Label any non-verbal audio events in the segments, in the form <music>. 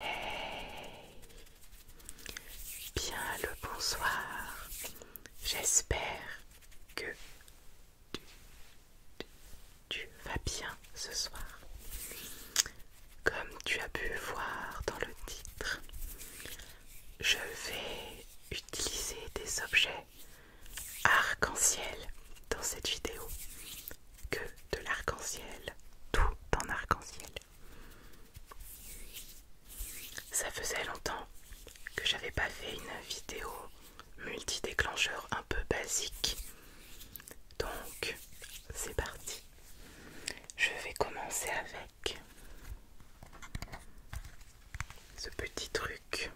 Hey Bien le bonsoir. J'espère que tu, tu vas bien ce soir. Comme tu as pu voir dans le titre, je vais utiliser des objets arc-en-ciel dans cette vidéo. Que de l'arc-en-ciel, tout en arc-en-ciel. Ça faisait longtemps que j'avais pas fait une vidéo multi-déclencheur un peu basique. Donc, c'est parti. Je vais commencer avec ce petit truc.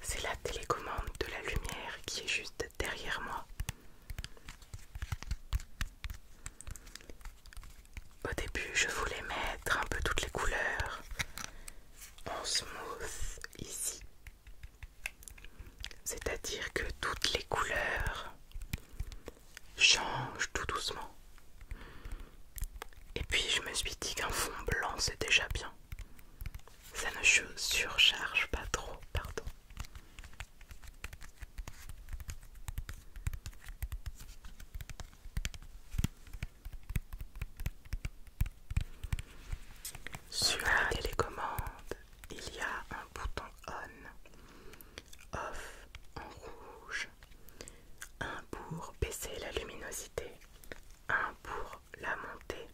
C'est la télécommande de la lumière qui est juste derrière moi. Au début, je voulais mettre un peu toutes les couleurs en smooth ici. C'est-à-dire que toutes les couleurs changent tout doucement. Et puis je me suis dit qu'un fond blanc c'est déjà bien. Ça ne surcharge pas trop, pardon. Sur la télécommande, il y a un bouton on, off en rouge, un pour baisser la luminosité, un pour la monter,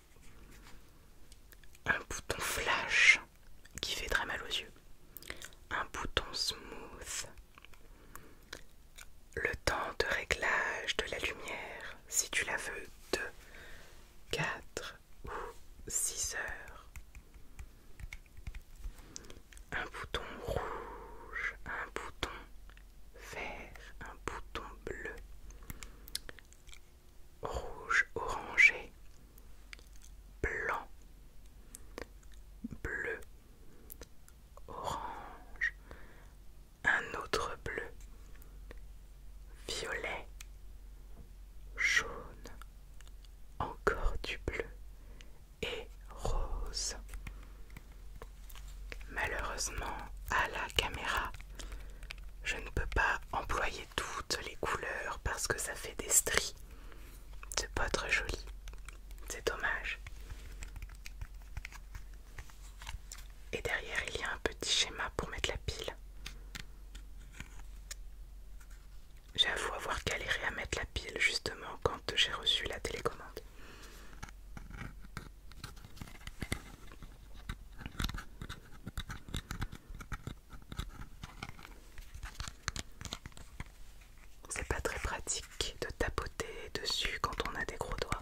un bouton flash qui fait très mal aux yeux. Un bouton smooth. Le temps de réglage de la lumière, si tu la veux, de 4 ou 6 heures. Un bouton rouge, un bouton vert, un bouton bleu rouge orangé, blanc, bleu, orange, un autre bleu, violet, jaune, encore du bleu et rose. Malheureusement, à la caméra, je ne peux pas employer toutes les couleurs parce que ça fait des stries. C'est pas très joli. C'est dommage. Et derrière, il y a un petit schéma pour mettre la pile. J'avoue avoir galéré à mettre la pile justement quand j'ai reçu la télécommande. C'est pas très pratique de tapoter dessus quand on a des gros doigts.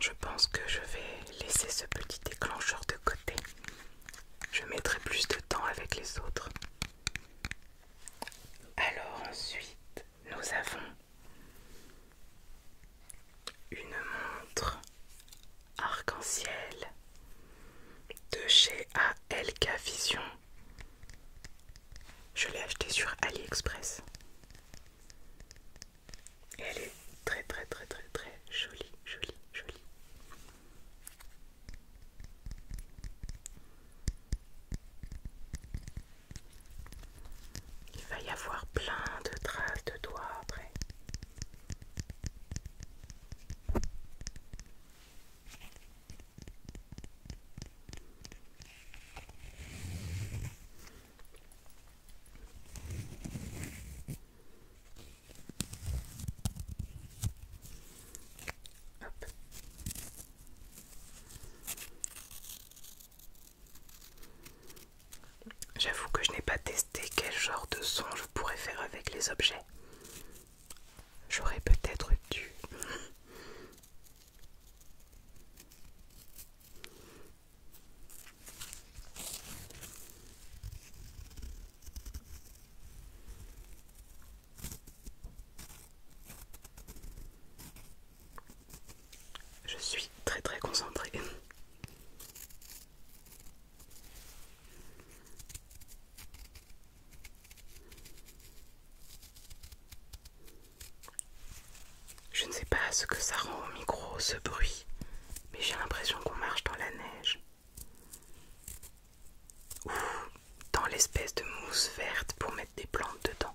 Je pense que je vais laisser ce petit déclencheur de côté. Je mettrai plus de temps avec les autres. Alors ensuite, nous avons une montre arc-en-ciel de chez ALK Vision. Je l'ai achetée sur AliExpress. Et elle est très très très très très jolie, jolie, jolie. Il va y avoir plein de traces de doigts après. J'avoue que je n'ai pas testé quel genre de son je pourrais faire avec les objets. J'aurais peut-être dû. Je suis très très concentrée. Je ne sais pas ce que ça rend au micro ce bruit, mais j'ai l'impression qu'on marche dans la neige dans l'espèce de mousse verte pour mettre des plantes dedans.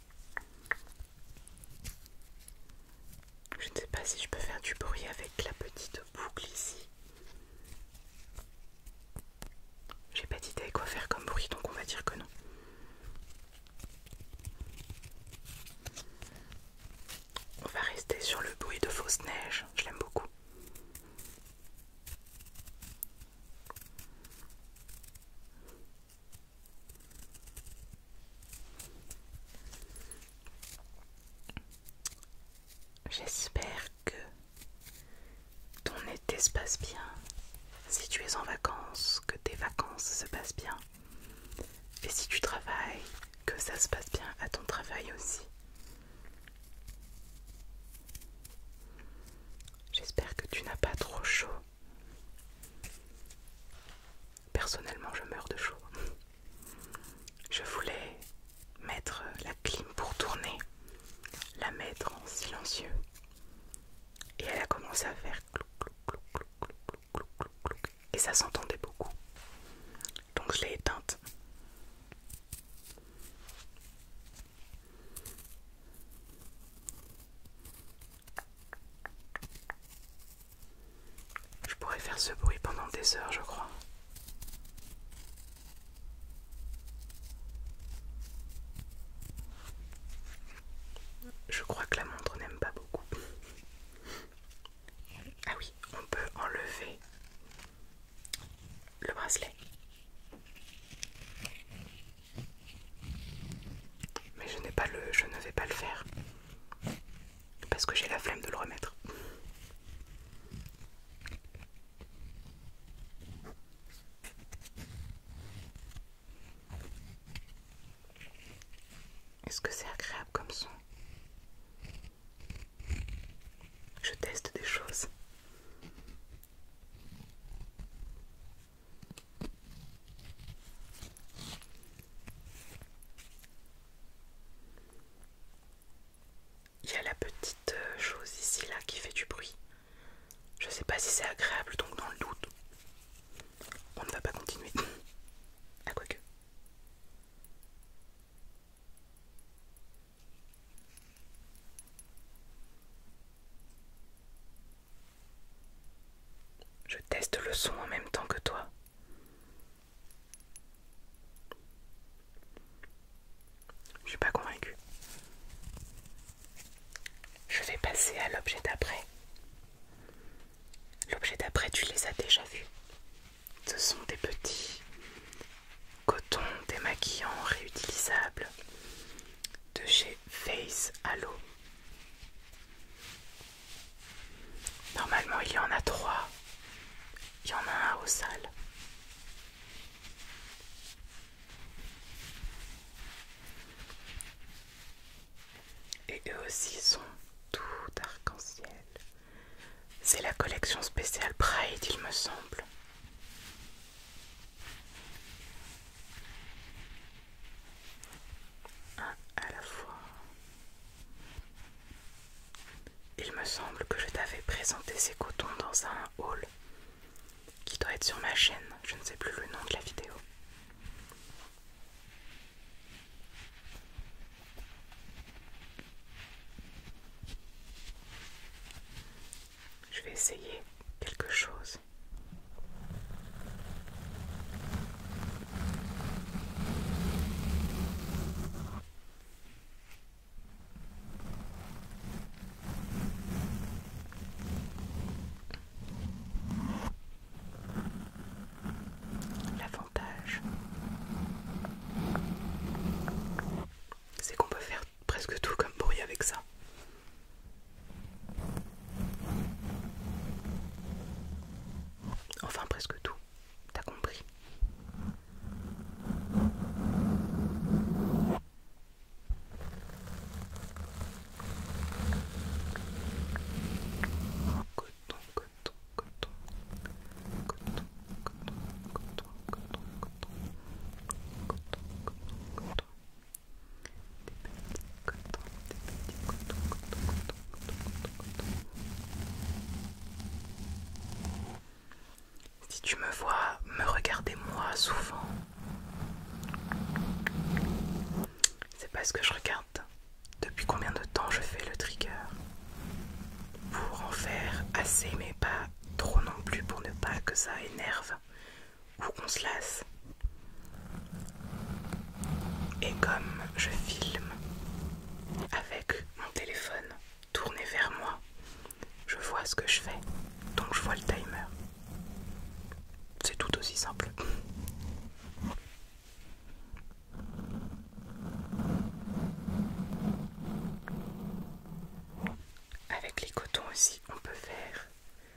Je ne sais pas si je peux faire du bruit avec la petite boucle ici. J'ai pas d'idée quoi faire comme bruit, donc on va dire que non. On va rester sur le bruit de fausse neige, je l'aime beaucoup. J'espère que ton été se passe bien. Si tu es en vacances, que tes vacances se passent bien. Et si tu travailles, que ça se passe bien à ton travail aussi. J'espère que tu n'as pas trop chaud Personnellement, je meurs de chaud. Je voulais mettre la clim pour tourner, la mettre en silencieux. Et elle a commencé à faire clouc, clouc, clouc, clouc, clouc, clouc, Et ça s'entendait beaucoup. Donc je l'ai éteinte. Je pourrais faire ce bruit pendant des heures, je crois. Je crois que la montre n'aime pas beaucoup. Ah oui, on peut enlever le bracelet. Mais je n'ai pas le je ne vais pas le faire parce que j'ai la flemme de le remettre. Est-ce que c'est agréable comme son Je teste des choses. Il y a la petite euh, chose ici là qui fait du bruit. Je sais pas si c'est agréable donc dans le doute on ne va pas continuer. à <coughs> ah, quoi que. Je teste le son en même temps que toi. Je suis pas convaincue. Je vais passer à l'objet d'après. L'objet d'après, tu les as déjà vus. Ce sont des petits cotons démaquillants réutilisables de chez Face Halo. Normalement, il y en a trois. Il y en a un au salle Et eux aussi sont tout arc-en-ciel. C'est la collection spéciale Pride, il me semble à la fois. Il me semble que je t'avais présenté ces cotons dans un hall qui doit être sur ma chaîne, je ne sais plus le nom de la vidéo. Je vais essayer quelque chose L'avantage, c'est qu'on peut faire presque tout comme bruit avec ça. Enfin presque tout, t'as compris. Si tu me vois, me regarder moi souvent, c'est parce que je regarde depuis combien de temps je fais le trigger pour en faire assez mais pas trop non plus pour ne pas que ça énerve où on se lasse. Et comme je filme avec mon téléphone tourné vers moi, je vois ce que je fais, donc je vois le timer. C'est tout aussi simple. Avec les cotons aussi, on peut faire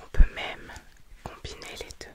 On peut même combiner les deux.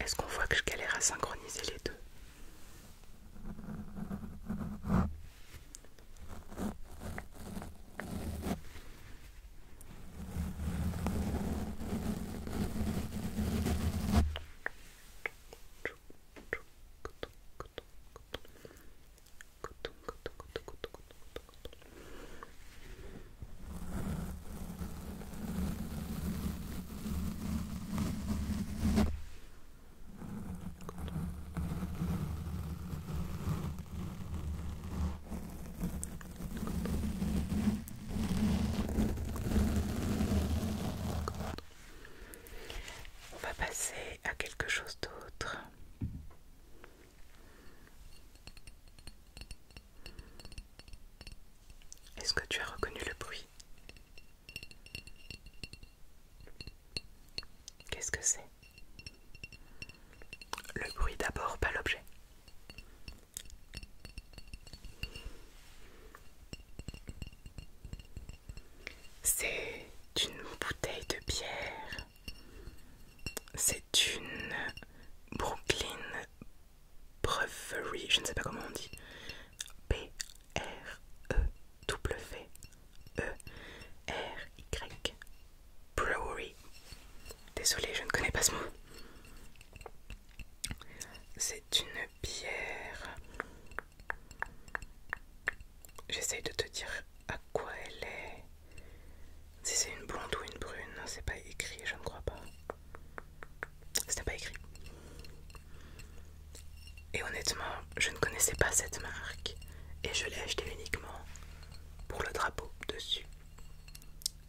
Est-ce qu'on voit que je galère à synchroniser les deux on va passer à quelque chose d'autre. Est-ce que tu as reconnu le bruit Qu'est-ce que c'est Le bruit d'abord, pas l'objet. C'est une bouteille de bière c'est une Brooklyn Brewery, je ne sais pas comment on dit. B-R-E-W-E-R-Y. Brewery. Désolée, je ne connais pas ce mot. C'est une bière. J'essaye de te dire à quoi elle est. Si c'est une blonde ou une brune, c'est pas écrit, je ne crois pas. C'était pas écrit. Et honnêtement, je ne connaissais pas cette marque et je l'ai achetée uniquement pour le drapeau dessus.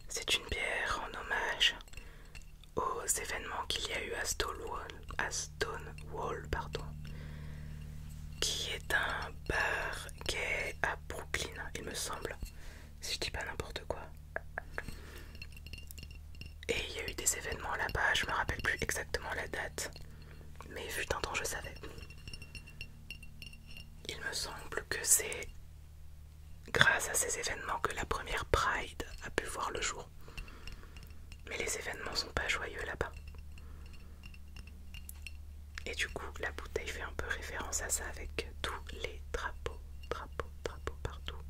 C'est une pierre en hommage aux événements qu'il y a eu à Stonewall, pardon, qui est un bar gay à Brooklyn, il me semble si je dis pas n'importe quoi. Et il y a eu des événements là-bas, je me rappelle plus exactement la date, mais vu de temps je savais. Il me semble que c'est grâce à ces événements que la première Pride a pu voir le jour. Mais les événements sont pas joyeux là-bas. Et du coup, la bouteille fait un peu référence à ça avec tous les drapeaux, drapeaux, drapeaux partout.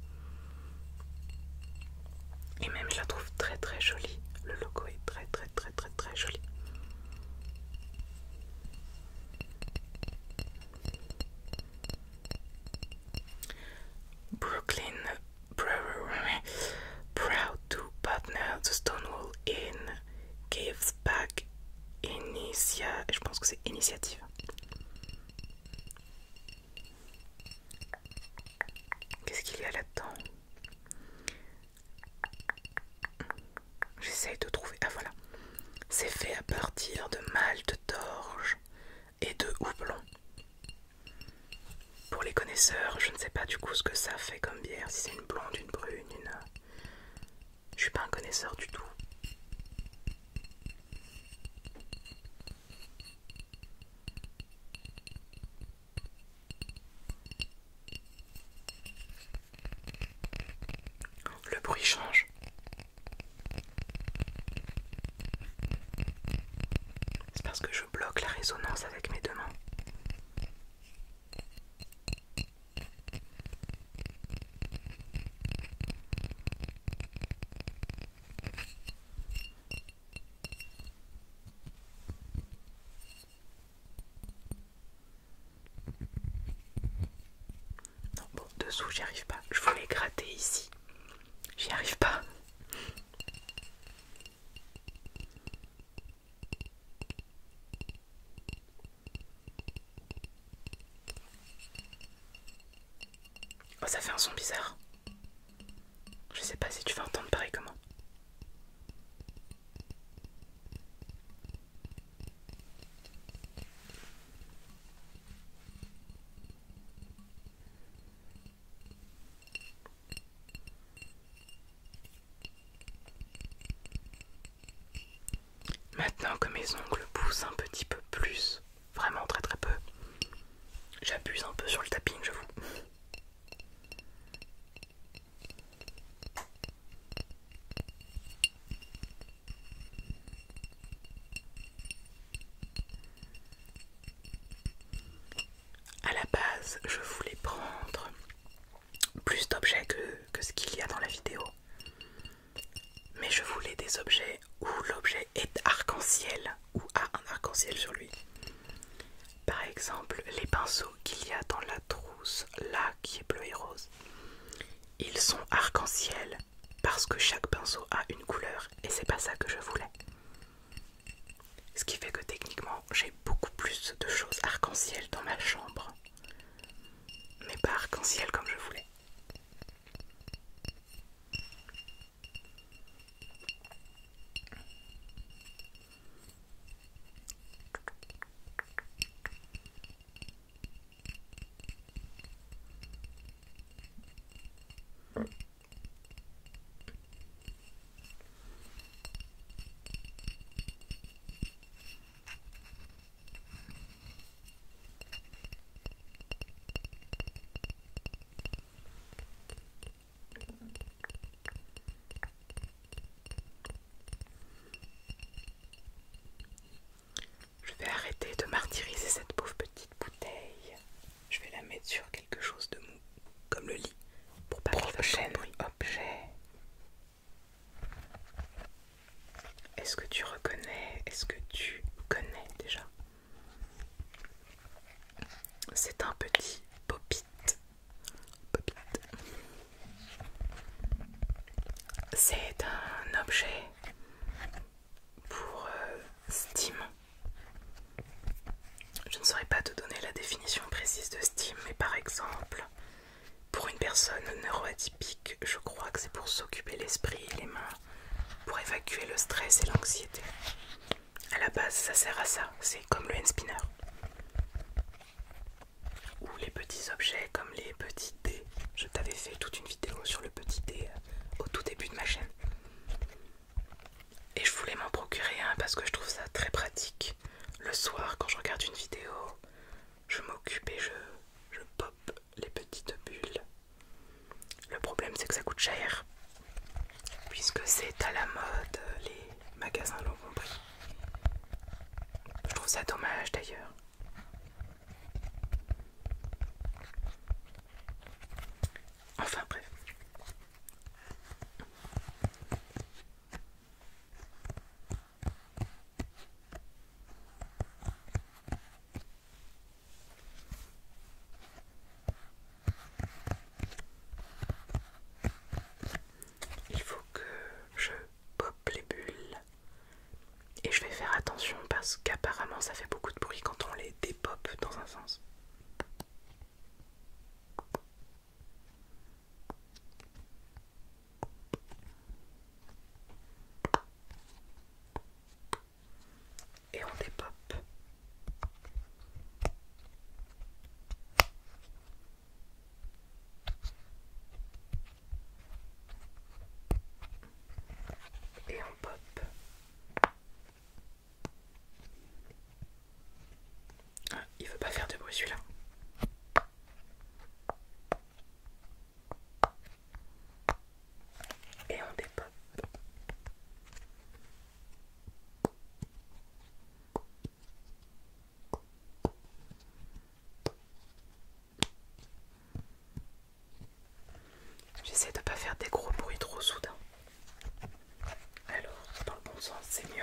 Et même, je la trouve très très jolie. Le logo est très très très très très joli. Brooklyn proud to partner the Stonewall Inn, gives back Initiat. Je pense que c'est Initiative. Qu'est-ce qu'il y a là-dedans J'essaye de trouver. Ah voilà. C'est fait à partir de malt d'orge et de houblon. Pour les connaisseurs, je ne sais pas du coup ce que ça fait comme bière, si c'est une blonde, une brune, une, je suis pas un connaisseur du tout. Le bruit change. C'est parce que je bloque la résonance avec mes deux mains. Non, bon, dessous, j'y arrive pas. Je voulais gratter ici. J'y arrive pas. Oh, ça fait un son bizarre. Je sais pas si tu vas entendre pareil comment. Maintenant que mes ongles poussent un petit peu plus, vraiment très très peu, j'abuse un peu sur le tapping, je vous. À la base, je voulais prendre plus d'objets que, ce qu'il y a dans la vidéo. Mais je voulais des objets où l'objet est arc-en-ciel ou a un arc-en-ciel sur lui. Par exemple, les pinceaux qu'il y a dans la trousse, là qui est bleu et rose, ils sont arc-en-ciel parce que chaque pinceau a une couleur et c'est pas ça que je voulais. Ce qui fait que techniquement j'ai beaucoup plus de choses arc-en-ciel dans ma chambre mais par en ciel comme je voulais. Je vais arrêter de martyriser cette pauvre petite bouteille. Je vais la mettre sur quelque chose de mou, comme le lit, pour pas le fasse bruit. Objet. Est-ce que tu reconnais Est-ce que tu connais déjà C'est un petit popit. popit. C'est un objet pour euh, Steam. Je ne saurais pas te donner la définition précise de Steam, mais par exemple, pour une personne neuroatypique, je crois que c'est pour s'occuper l'esprit et les mains, pour évacuer le stress et l'anxiété. À la base, ça sert à ça, c'est comme le hand spinner. Ou les petits objets comme les petits dés. Je t'avais fait toute une vidéo sur le petit dé euh, au tout début de ma chaîne. Et je voulais m'en procurer un parce que je trouve ça très pratique le soir quand je regarde une vidéo, je m'occupe et je, pop les petites bulles. Le problème c'est que ça coûte cher, puisque c'est à la mode, les magasins l'ont compris. Je trouve ça dommage d'ailleurs. Enfin bref. Il faut que je pop les bulles et je vais faire attention parce qu'apparemment ça fait beaucoup de bruit quand on les dépop dans un sens. Et on dépope. Et on pop il veut pas faire de bruit celui-là. Et on dépop. J'essaie de ne pas faire des gros bruits trop soudains. Alors, dans le bon sens, c'est mieux.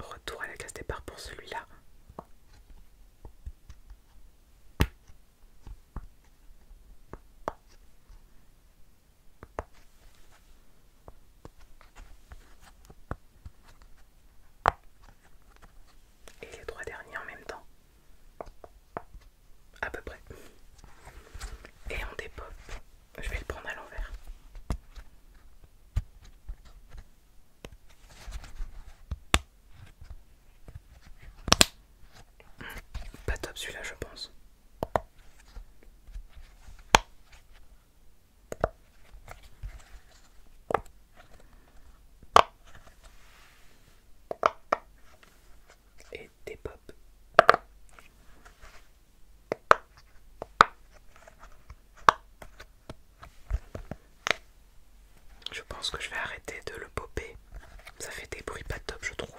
Retour à la case départ pour celui-là. Et les trois derniers en même temps. À peu près. Et on dépop. Bah, je vais le prendre à l'envers. Hmm, pas top celui-là, je pense. Et des pop. Je pense que je vais arrêter de le popper. Ça fait des bruits pas top, je trouve.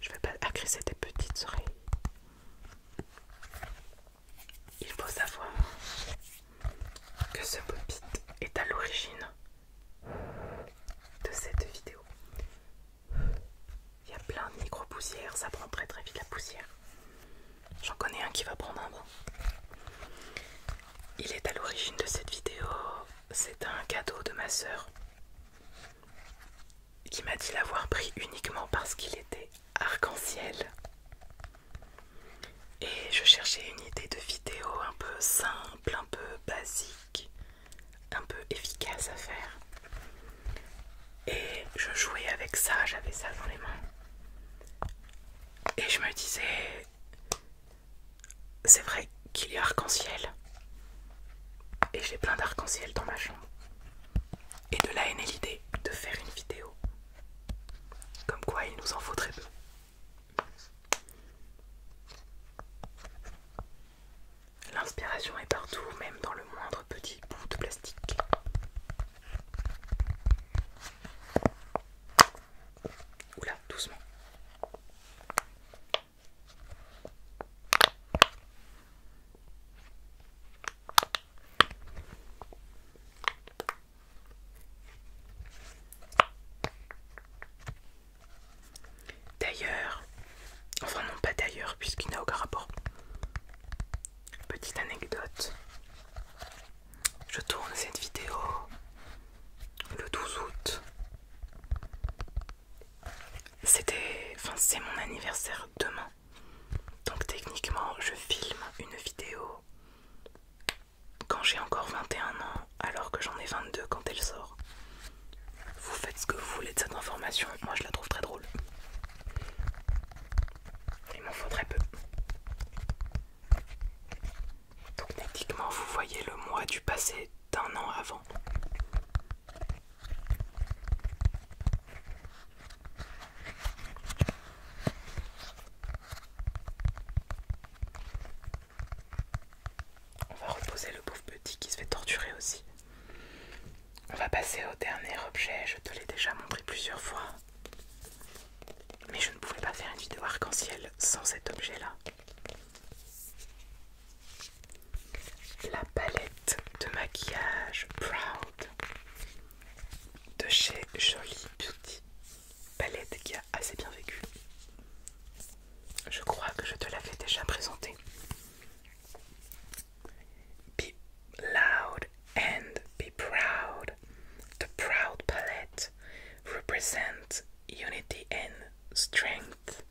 Je vais pas agresser des petites oreilles. Il faut savoir que ce pop est à l'origine de cette vidéo. Il y a plein de micro-poussières, ça prend très très vite la poussière. J'en connais un qui va prendre un bon. Il est à l'origine de cette vidéo, c'est un cadeau de ma sœur qui m'a dit l'avoir pris uniquement parce qu'il était arc-en-ciel. Et je cherchais une idée de vidéo un peu simple, un peu basique, un peu efficace à faire. Et je jouais avec ça, j'avais ça dans les mains. Et je me disais, c'est vrai qu'il y a arc-en-ciel. Et j'ai plein d'arc-en-ciel dans ma chambre. Et de là est née l'idée de faire une vidéo. Comme quoi il nous en faut très peu. L'inspiration est partout, même dans le moindre petit de plastique. Oula, doucement. D'ailleurs, enfin non pas d'ailleurs puisqu'il n'a aucun rapport. Petite anecdote, je tourne cette vidéo le 12 août. C'était, enfin c'est mon anniversaire demain. Donc techniquement je filme une vidéo quand j'ai encore 21 ans alors que j'en ai 22 quand elle sort. Vous faites ce que vous voulez de cette information, moi je la trouve très drôle. Il m'en faudrait peu. Donc techniquement, vous voyez le mois du passé d'un an avant. On va reposer le pauvre petit qui se fait torturer aussi. On va passer au dernier objet, je te l'ai déjà montré plusieurs fois. Mais je ne pouvais pas faire une vidéo arc-en-ciel sans cet objet-là. La palette de maquillage Proud de chez Jolie Beauty. Palette qui a assez bien vécu. Je crois que je te l'avais déjà présentée. Be loud and be proud. The proud palette represents unity and strength,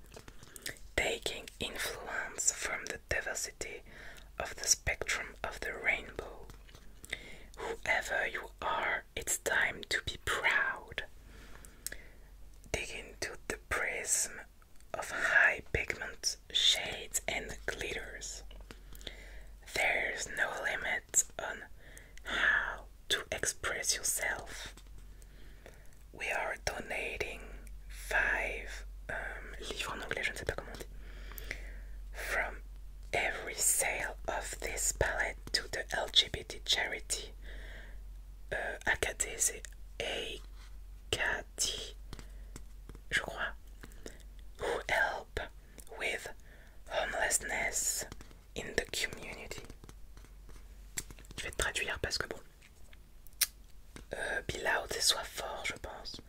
taking influence from the diversity of the spectrum of the rainbow. Whoever you are, it's time to be proud. Dig into the prism of high pigment shades and glitters. There's no limit on how to express yourself. We are donating five um, livres en anglais, je ne sais pas comment on From every sale of this palette to the LGBT charity uh, AKD, c'est dit, je crois, who help with homelessness in the community. Je vais te traduire parce que bon, euh, be loud sois soit fort, je pense,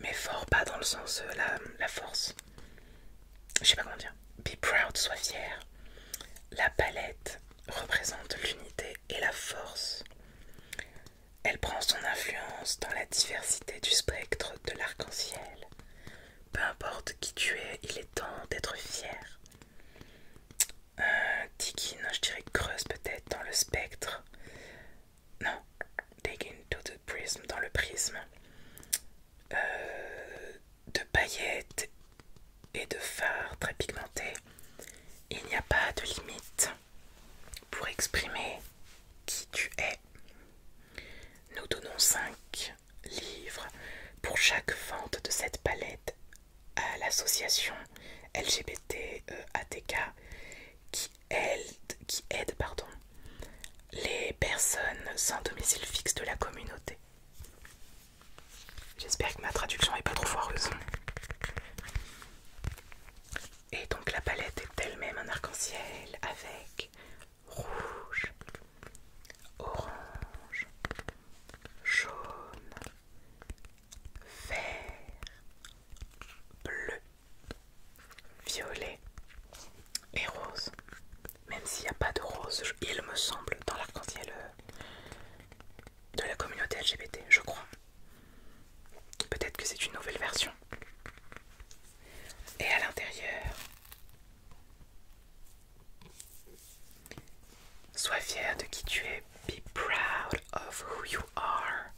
mais fort pas dans le sens euh, la, la force. Je sais pas comment dire. Be proud, sois fier. La palette représente l'unité et la force. Elle prend son influence dans la diversité du spectre de l'arc-en-ciel. Peu importe qui tu es, il est temps d'être fier. Tikin, euh, je dirais creuse peut-être dans le spectre. Non, dig to the prism, dans le prisme. Euh, de paillettes et de phares très pigmentés. Il n'y a pas de limite pour exprimer qui tu es. Nous donnons 5 livres pour chaque vente de cette palette à l'association LGBT euh, qui aide, qui aide pardon, les personnes sans domicile fixe de la communauté. J'espère que ma traduction n'est pas trop foireuse. Et donc la palette est elle-même un arc-en-ciel avec rouge, orange, jaune, vert, bleu, violet et rose. Même s'il n'y a pas de rose, il me semble, dans l'arc-en-ciel euh, de la communauté LGBT, je crois. Peut-être que c'est une nouvelle version. Et à l'intérieur, sois fier de qui tu es. Be proud of who you are.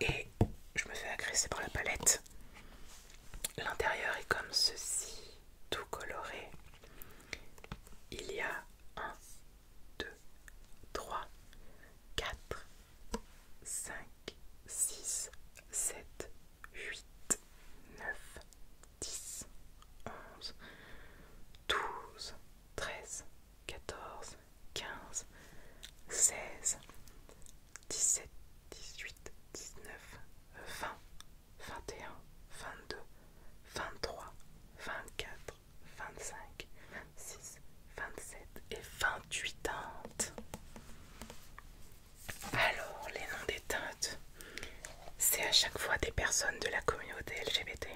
Et je me fais agresser par la palette. L'intérieur est comme ceci, tout coloré. Il y a un 2, 3, 4, 5, 6, 7, 8, 9, 10, 11, 12, 13, 14, 15, 16, 17, 18, 19, 20, 21, 22, 23, 24, 25, 26, 27 et 28 teintes. Alors, les noms des teintes, c'est à chaque fois des personnes de la communauté LGBT.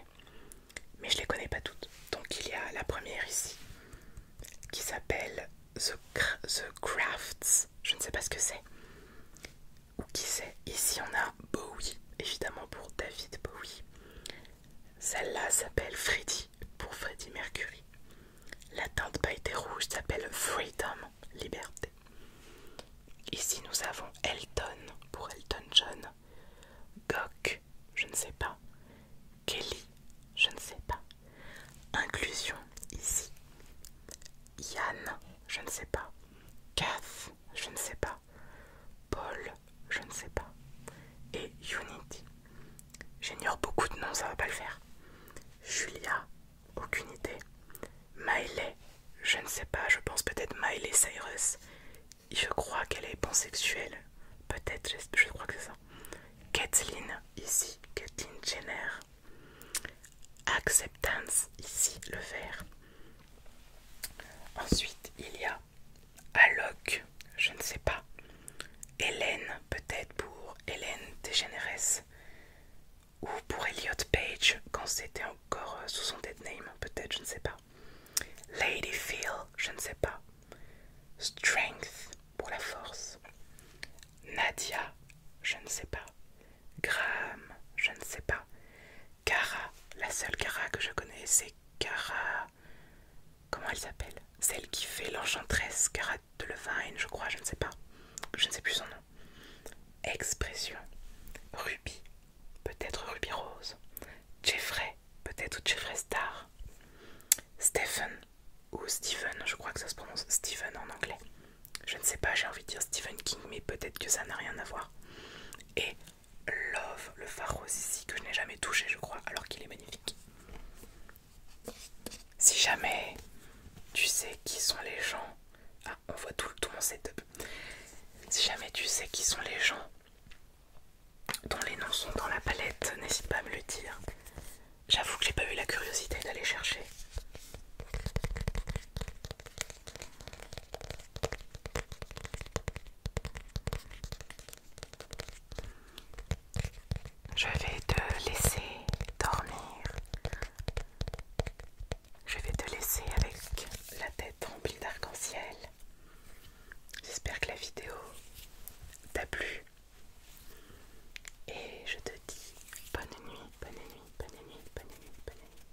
Mais je les connais pas toutes. Donc il y a la première ici qui s'appelle The Crafts. Je ne sais pas ce que c'est qui sait, ici on a Bowie, évidemment pour David Bowie. Celle-là s'appelle Freddy pour Freddy Mercury. La teinte pailletée rouge s'appelle Freedom, liberté. Ici nous avons Elton pour Elton John, Gok, je ne sais pas, Kelly, je ne sais pas, Inclusion ici, Yann, je ne sais pas, Kath, je ne sais pas. Paul, je ne sais pas. Et Unity. J'ignore beaucoup de noms, ça va pas le faire. Julia, aucune idée. Miley, je ne sais pas, je pense peut-être Miley Cyrus. Je crois qu'elle est pansexuelle. Peut-être, je crois que c'est ça. Kathleen, ici, Kathleen Jenner. Acceptance, ici, le vert. Ensuite, il y a Alok, je ne sais pas. Hélène, peut-être pour Hélène Degeneres. Ou pour Elliot Page, quand c'était encore euh, sous son dead name, peut-être, je ne sais pas. Lady Phil, je ne sais pas. Strength, pour la force. Nadia, je ne sais pas. Graham, je ne sais pas. Kara, La seule Cara que je connais, c'est Kara... Comment elle s'appelle Celle qui fait l'enchantresse, Cara de Levine, je crois, je ne sais pas. Je ne sais plus son nom. Expression. Ruby. Peut-être Ruby Rose. Jeffrey. Peut-être ou Jeffrey Star. Stephen. Ou Stephen, je crois que ça se prononce Stephen en anglais. Je ne sais pas, j'ai envie de dire Stephen King, mais peut-être que ça n'a rien à voir. Et Love, le phare ici que je n'ai jamais touché je crois alors qu'il est magnifique. Si jamais tu sais qui sont les gens... Ah on voit tout, tout mon setup. Si jamais tu sais qui sont les gens dont les noms sont dans la palette, n'hésite pas à me le dire. J'avoue que j'ai pas eu la curiosité d'aller chercher. Je vais te laisser dormir. Je vais te laisser avec la tête remplie d'arc-en-ciel. J'espère que la vidéo t'a plu. Et je te dis bonne nuit, bonne nuit, bonne nuit, bonne nuit, bonne nuit.